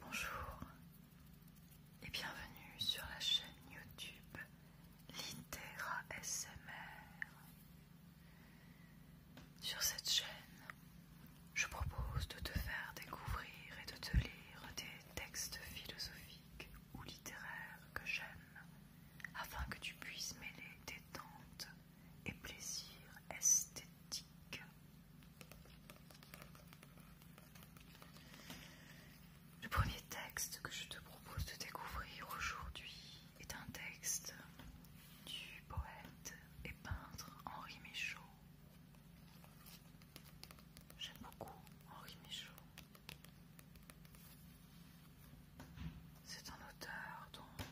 Bonjour et bienvenue sur la chaîne YouTube Litera SMR. Sur cette chaîne, je propose de te faire découvrir et de te lire des textes philosophiques ou littéraires que j'aime afin que tu puisses mêler tes tentes et plaisir esthétique. Le premier texte que je te propose de découvrir aujourd'hui est un texte du poète et peintre Henri Michaud. J'aime beaucoup Henri Michaud. C'est un auteur dont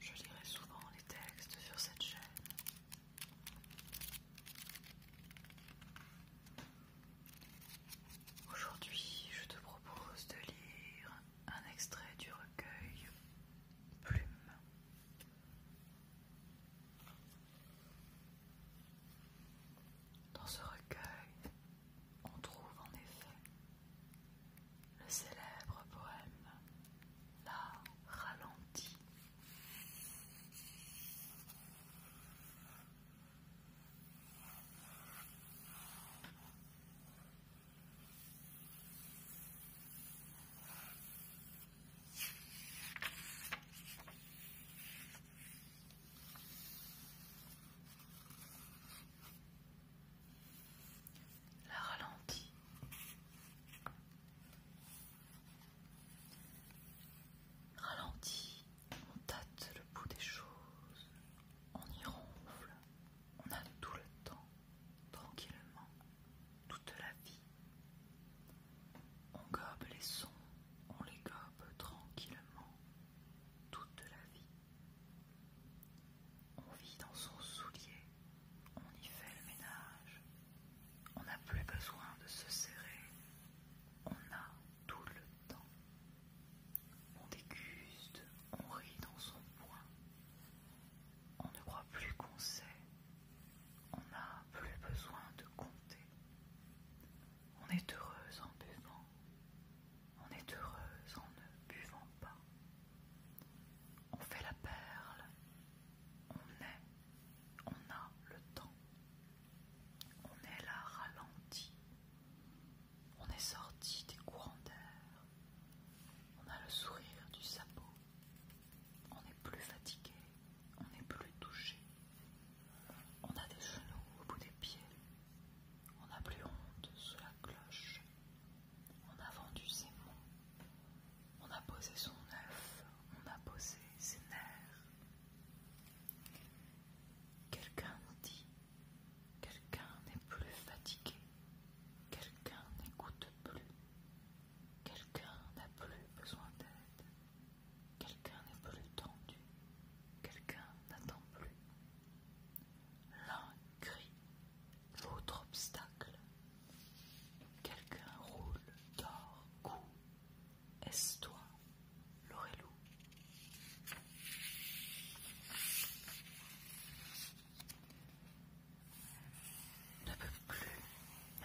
je lirai souvent les textes sur cette chaîne. Aujourd'hui, je te propose de lire un extrait du recueil Plume. Dans ce recueil, on trouve en effet le célèbre poème La Ralentie la ralentit. Ralentit, on tâte le bout des choses, on y ronfle, on a tout le temps, tranquillement, toute la vie. On gobe les sons, on les gobe tranquillement, toute la vie. On vit dans son soulier, on y fait le ménage, on n'a plus besoin de se serrer, on a tout le temps. On déguste, on rit dans son poing, on ne croit plus qu'on sait, on n'a plus besoin de compter. On est heureuse en buvant, on est heureuse en ne buvant pas. On fait la perle, on est, on a le temps, on est là ralenti, on est sorti des courants d'air, on a le sourire du sabot, on n'est plus fatigué, on n'est plus touché, on a des genoux au bout des pieds, on n'a plus honte sous la cloche, on a vendu ses mots, on a posé son œuf, on a posé ses nerfs. Quelqu'un dit, quelqu'un n'est plus fatigué, quelqu'un n'écoute plus, quelqu'un n'a plus besoin d'aide, quelqu'un n'est plus tendu, quelqu'un n'attend plus, L'un crie, l'autre obstacle. Quelqu'un roule, dort, cou. Est-ce toi, Lorelou Ne peuvent plus,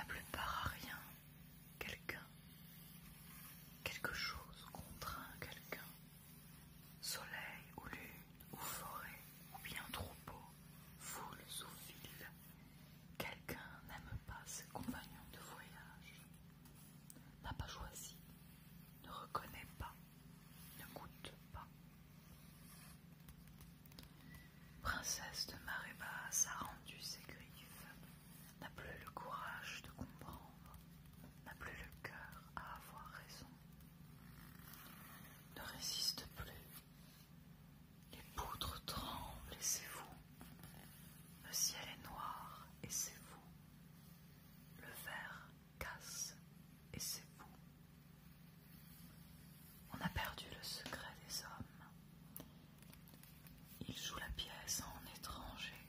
plus pas à rien. Quelqu'un, quelque chose contraint quelqu'un. Soleil ou lune ou forêt ou bien troupeau, foule ou ville, quelqu'un n'aime pas ses compagnons de voyage, n'a pas choisi, ne reconnaît pas, ne goûte pas. Princesse de marée basse a rendu ses griffes, n'a plus le courage de comprendre, n'a plus le cœur à avoir raison ne résiste plus. Les poutres tremblent et c'est vous. Le ciel est noir et c'est vous. Le verre casse et c'est vous. On a perdu le secret des hommes. Il joue la pièce en étranger.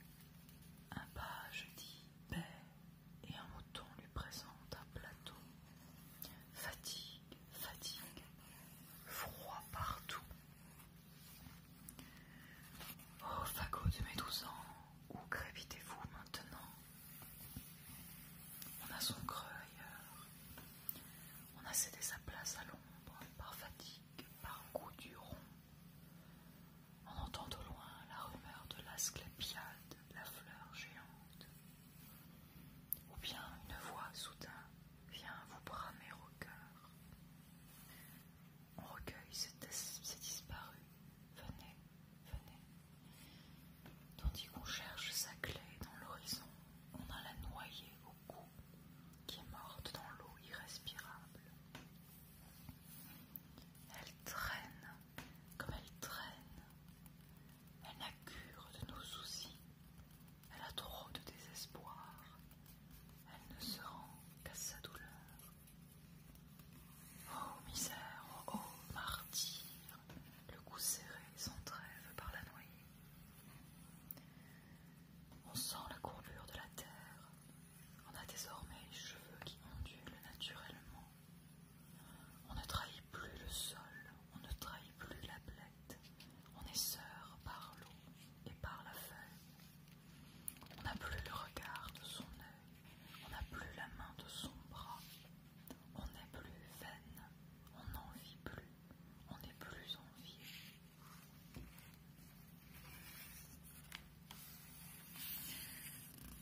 Un je dit paix et un mouton lui présente un plateau. Fatigue, fatigue, froid partout. Oh, fagot de mes douze ans, où grévitez-vous maintenant On a son creux ailleurs. On a cédé sa place à l'ombre par fatigue, par goût du rond. On entend au loin la rumeur de l'asclépiade, la fleur géante. Ou bien une voix soudain vient vous bramer au cœur. On recueille, ses disparu. Venez, venez. Tandis qu'on cherche sa clé dans l'horizon, on a la noyée au cou, qui est morte dans l'eau irrespirable. Elle traîne comme elle traîne. Elle n'a cure de nos soucis, elle a trop de désespoir, elle ne se rend qu'à sa douleur. Oh misère, oh, martyr, le cou serré trêve par la noyée. On sent la courbure de la terre, on a désormais les cheveux qui ondulent naturellement. On ne trahit plus le sol, on ne trahit plus la blette, on est sœur par l'eau et par la feuille. On n'a plus le regard de son œil, on n'a plus la main de son bras, on n'est plus vaine, on n'en vit plus, on n'est plus vie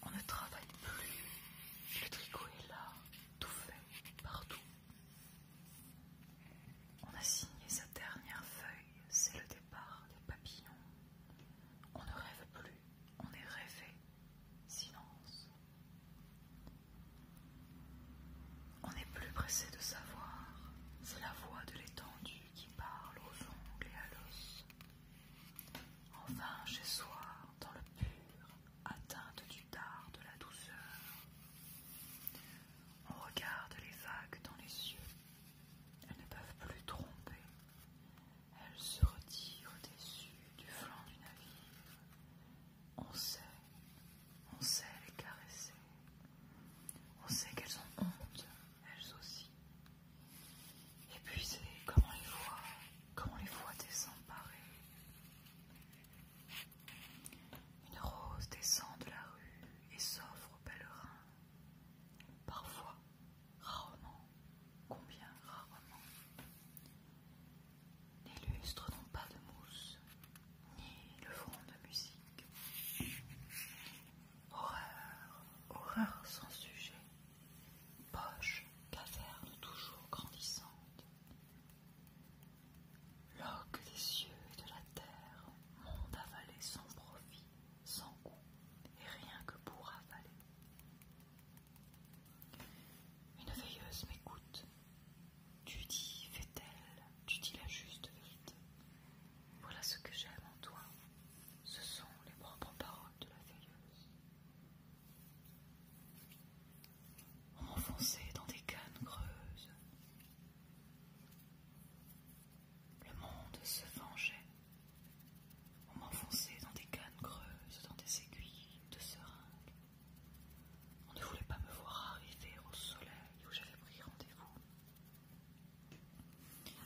on ne travaille plus. Le tricot est là, tout fait, partout. On a signé sa dernière feuille, c'est le départ des papillons. On ne rêve plus, on est rêvé. Silence. On n'est plus pressé de savoir, c'est la voix de l'étendue qui parle aux ongles et à l'os. Enfin chez soi, dans le pur, atteinte du tard de la douceur. On regarde les vagues dans les yeux. Elles ne peuvent plus tromper. Elles se retirent au-dessus du flanc du navire. On sait, on sait les caresser. On sait qu'elles ont honte elles aussi. épuisées Comment comme on les voit, comme on les voit désemparer. Une rose descend de la rue et s'offre aux pèlerins. Parfois, rarement, combien rarement. Les lustres n'ont pas de mousse, ni le fond de musique. Horreur, horreur sans sujet poche, caverne toujours grandissante. Loque des cieux et de la terre, monde avalé sans profit, sans goût, et rien que pour avaler. Une veilleuse m'écoute. Tu dis, fait-elle, tu dis la juste vérité. Voilà ce que j'aime en toi, ce sont les propres paroles de la veilleuse. m'enfonçait dans des cannes creuses, le monde se vengeait. On m'enfonçait dans des cannes creuses, dans des aiguilles de seringue. On ne voulait pas me voir arriver au soleil où j'avais pris rendez-vous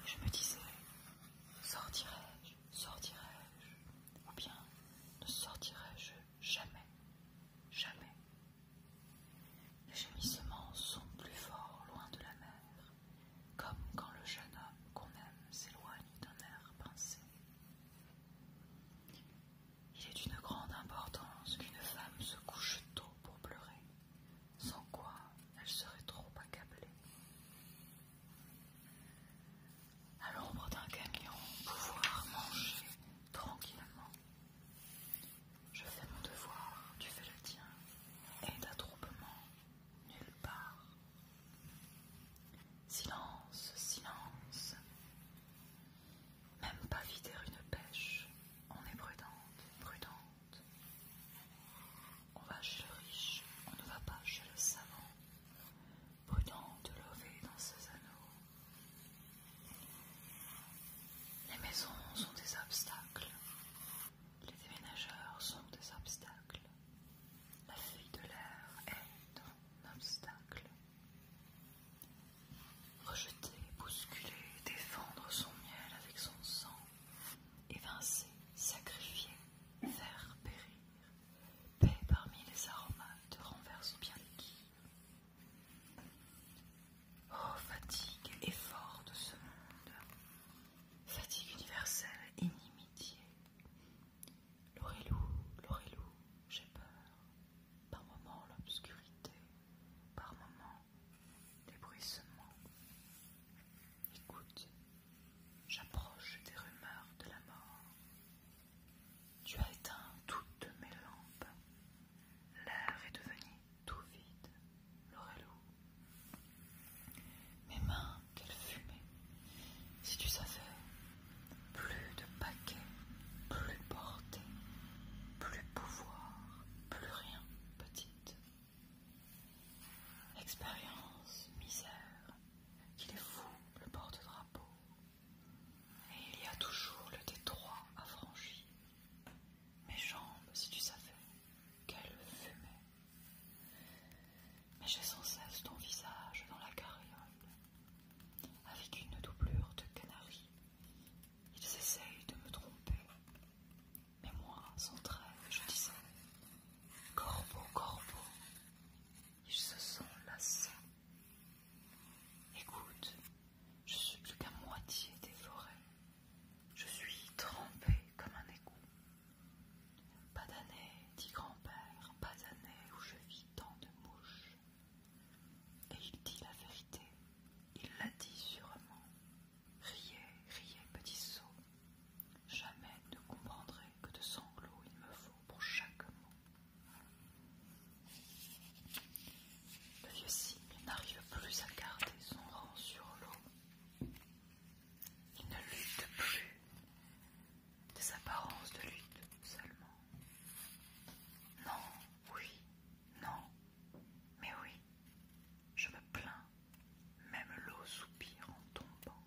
je me disais, sortirai-je, sortirai-je, ou bien ne sortirai-je jamais, jamais. Les gémissements sont plus forts loin de la mer, comme quand le jeune homme qu'on aime s'éloigne d'un air pincé. Il est d'une grande importance qu'une femme se couche tôt pour pleurer, sans quoi elle serait trop accablée. À l'ombre d'un gagnant, pouvoir manger tranquillement. Je fais mon devoir, tu fais le tien, et d'attroupement nulle part. Silence, silence. Même pas vider une pêche. On est prudente, prudente. On va chez le riche, on ne va pas chez le savant, prudent de lever dans ses anneaux. Les maisons sont des obstacles, les déménageurs sont des obstacles, la fille de l'air est un obstacle. Rejeter, bousculer, défendre son miel avec son sang, évincer, sacrifier, faire périr, paix parmi les aromates renverse bien l'équilibre. Oh, fatigue, effort de ce monde, fatigue universelle, inimitié. L'orélou, l'orélou, j'ai peur, par moments l'obscurité, par moments des bruissements. Écoute, j'approche des rumeurs de la mort. Tu as éteint toutes mes lampes. L'air est devenu tout vide, Lorelou. Mes mains, quelle fumée Si tu savais, plus de paquets, plus portée, plus pouvoir, plus rien, petite expérience, misère, qu'il est fou, le porte-drapeau. Et il y a toujours le détroit à franchir. Mes jambes, si tu savais, quelle fumaient Mais j'ai sans cesse ton visage dans la carriole, avec une doublure de canaris. Ils essayent de me tromper, mais moi, sans trêve, je disais Corbeau, corbeau, ils se sont lassés. Écoute, je suis plus qu'à moitié dévoré. Je suis trempé comme un égout. Pas d'année, dit grand-père, pas d'année où je vis tant de mouches. Et il dit la vérité, il l'a dit sûrement. Riez, riez, petit sot. Jamais ne comprendrai que de sanglots il me faut pour chaque mot. Le vieux cygne n'arrive plus à garder son rang sur l'eau. Il ne lutte plus. Des apparences de lutte seulement. Non, oui, non, mais oui. Je me plains, même l'eau soupire en tombant.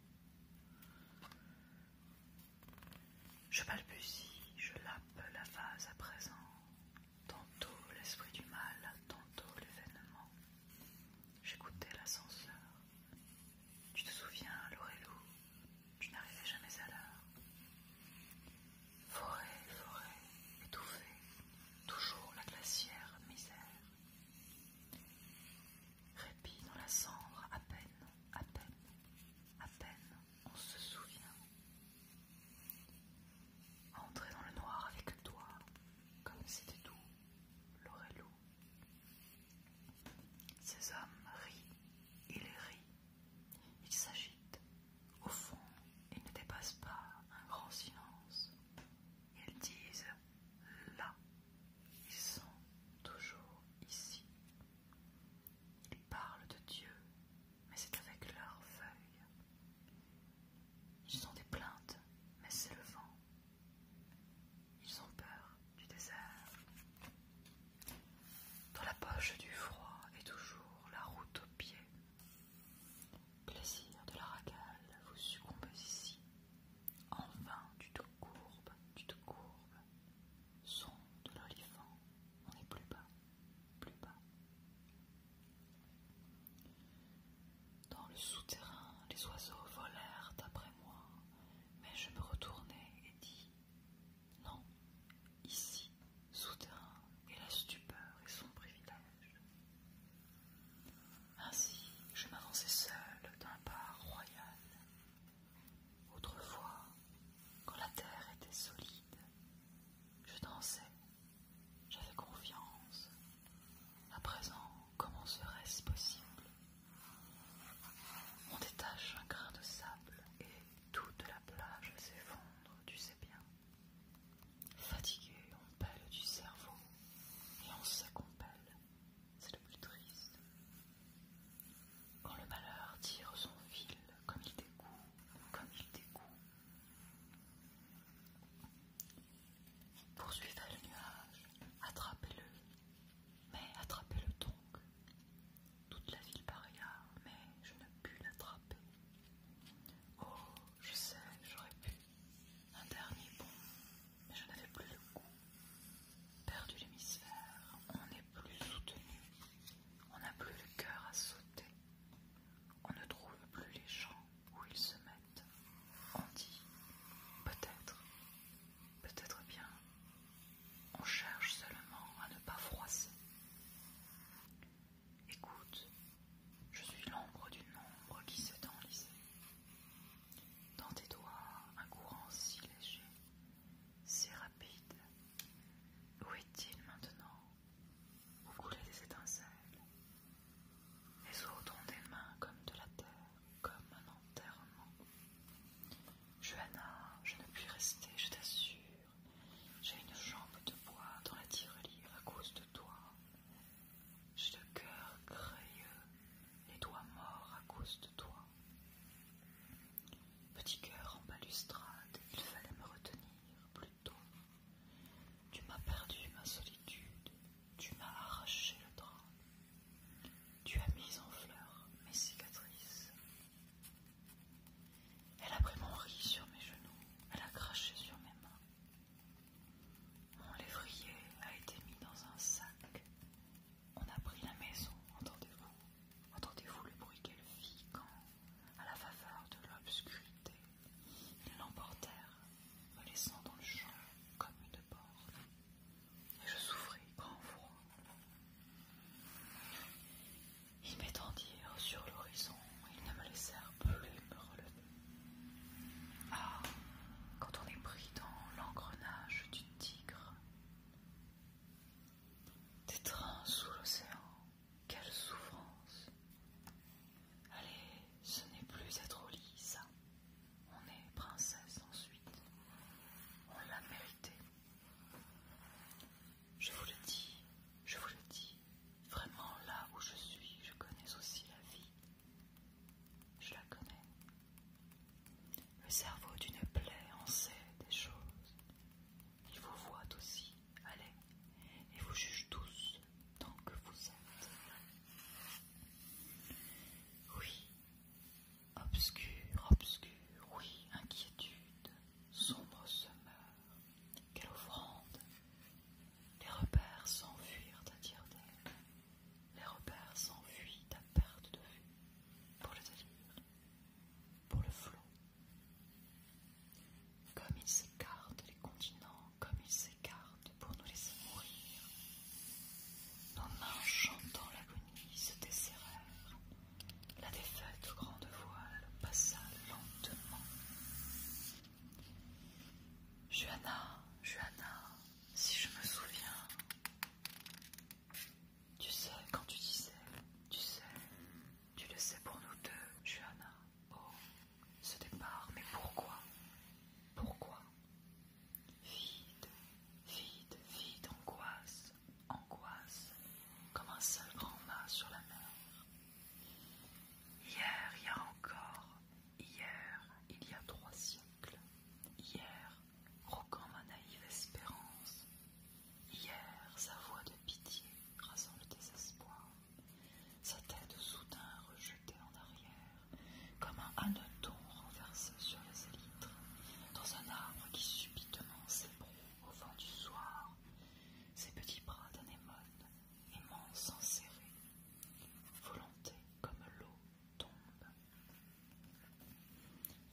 Je balbutie, je lappe la vase à présent, tantôt l'esprit du mal, tantôt l'événement. J'écoutais l'ascenseur. Tu te souviens, Lorelou, tu n'arrivais jamais à l'heure. Forêt, forêt, étouffée, toujours la glacière misère. Répit dans la cendre, à peine, à peine, à peine, on se souvient. Entrer dans le noir avec toi, comme c'était tout, lourde. Ces hommes rient, ils rient, ils s'agitent, au fond, ils ne dépassent pas un grand silence. Ils disent là. Ils sont toujours ici. Ils parlent de Dieu, mais c'est avec leurs feuilles. Ils ont des plaintes, mais c'est le vent. Ils ont peur du désert. Dans la poche du froid est toujours la route aux pieds. Plaisir de la racale, vous succombez ici. Enfin, tu te courbes, tu te courbes Son de l'olifant, on est plus bas, plus bas. Dans le souterrain, les oiseaux volèrent après moi, mais je me retournai et dis Non, ici, Soudain, et la stupeur et son privilège. Ainsi, je m'avançais seul d'un pas royal. Autrefois, quand la terre était solide, je dansais, j'avais confiance. À présent, comment serait-ce possible On détache un grain de sable et toute la plage s'effondre, tu sais bien. Fatigué, on pèle du cerveau et on sait qu'on pèle. C'est le plus triste. Quand le malheur tire son fil, comme il découle, comme il découle. Poursuivez le nuage, attrapez-le, mais attrapez-le donc. Toute la ville paria, ah, mais je ne puis l'attraper. Oh, je sais, j'aurais pu. Un dernier bond, mais je n'avais plus le goût. Perdu l'hémisphère, on n'est plus soutenu. On n'a plus le cœur à sauter. On ne trouve plus les gens où ils se mettent. On dit peut-être, peut-être bien. On cherche seulement à ne pas froisser. Écoute, je suis l'ombre d'une ombre qui s'est enlisée. Dans tes doigts, un courant si léger, si rapide. Où est-il maintenant Vous coulez des étincelles Les autres ont des mains comme de la terre, comme un enterrement. Johanna, je ne puis rester, je t'assure. J'ai une jambe de bois dans la tirelire à cause de toi. J'ai le cœur crayeux, les doigts morts à cause de toi. Petit cœur en balustrade, il fallait me retenir plus tôt. Tu m'as perdu ma solitude, tu m'as arraché le drap. Tu as mis en fleur mes cicatrices. Elle a pris mon riz sur mes genoux, elle a craché sur mes mains. Mon lévrier a été mis dans un sac. On a pris la maison, entendez-vous Entendez-vous le bruit qu'elle fit quand, à la faveur de l'obscurité, ils l'emportèrent, me laissant dans le champ comme une borne. Et je souffrais grand froid. Ils m'étendirent euh, sur l'horizon, ils ne me laissèrent plus me relever. Ah, quand on est pris dans l'engrenage du tigre, des trains sous l'océan, quelle souffrance! Allez, ce n'est plus être au lit, ça. On est princesse ensuite. On l'a mérité. Je vous le dis, je vous le dis, vraiment là où je suis, je connais aussi la vie. Je la connais. Le cerveau d'une plaie en sait des choses. Il vous voit aussi, allez, et vous juge tous tant que vous êtes. Oui, obscur, obscur, oui, inquiétude, sombre semeur. Euh, quelle offrande Les repères s'enfuirent à dire d'air, Les repères s'enfuient à perte de vue, pour le délire, pour le flot. Comme ils s'écartent les continents, comme ils s'écartent pour nous laisser mourir. Nos mains chantant l'agonie se desserrèrent, la défaite aux grandes voiles passa lentement. Juana, Juana, si je me souviens, tu sais quand tu disais, tu sais, tu le sais pour nous deux, Juana. Oh, ce départ, mais pourquoi Pourquoi Vide, vide, vide angoisse angoisse, comme un seul grand mât sur la mer. Hier, il y a encore, hier, il y a trois siècles, hier, roquant ma naïve espérance, hier, sa voix de pitié rasant le désespoir, sa tête soudain rejetée en arrière, comme un hanneton renversé sur les élytres, dans un arbre qui subitement s'ébroue au vent du soir, ses petits bras d'anémone, immenses serrer volonté comme l'eau tombe.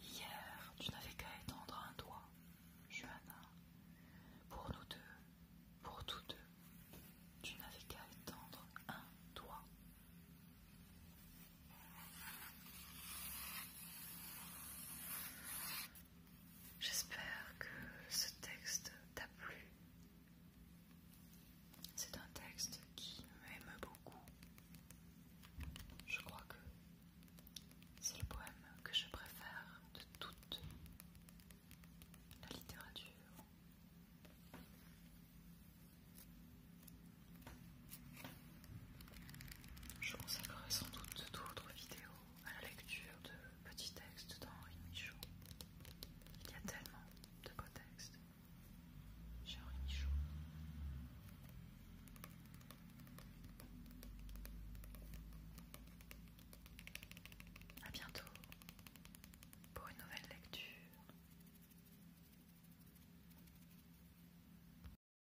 Hier, tu n'avais qu'à étendre un doigt, Johanna, pour nous deux, pour tous deux, tu n'avais qu'à étendre un doigt. J'espère que ce texte t'a plu. C'est un texte qui m'aime beaucoup. Je crois que c'est le poème que je préfère de toute la littérature. Je consacrerai sans doute d'autres vidéos à la lecture de petits textes d'Henri Michaud. Il y a tellement de beaux textes chez Henri Michaud. A bientôt pour une nouvelle lecture.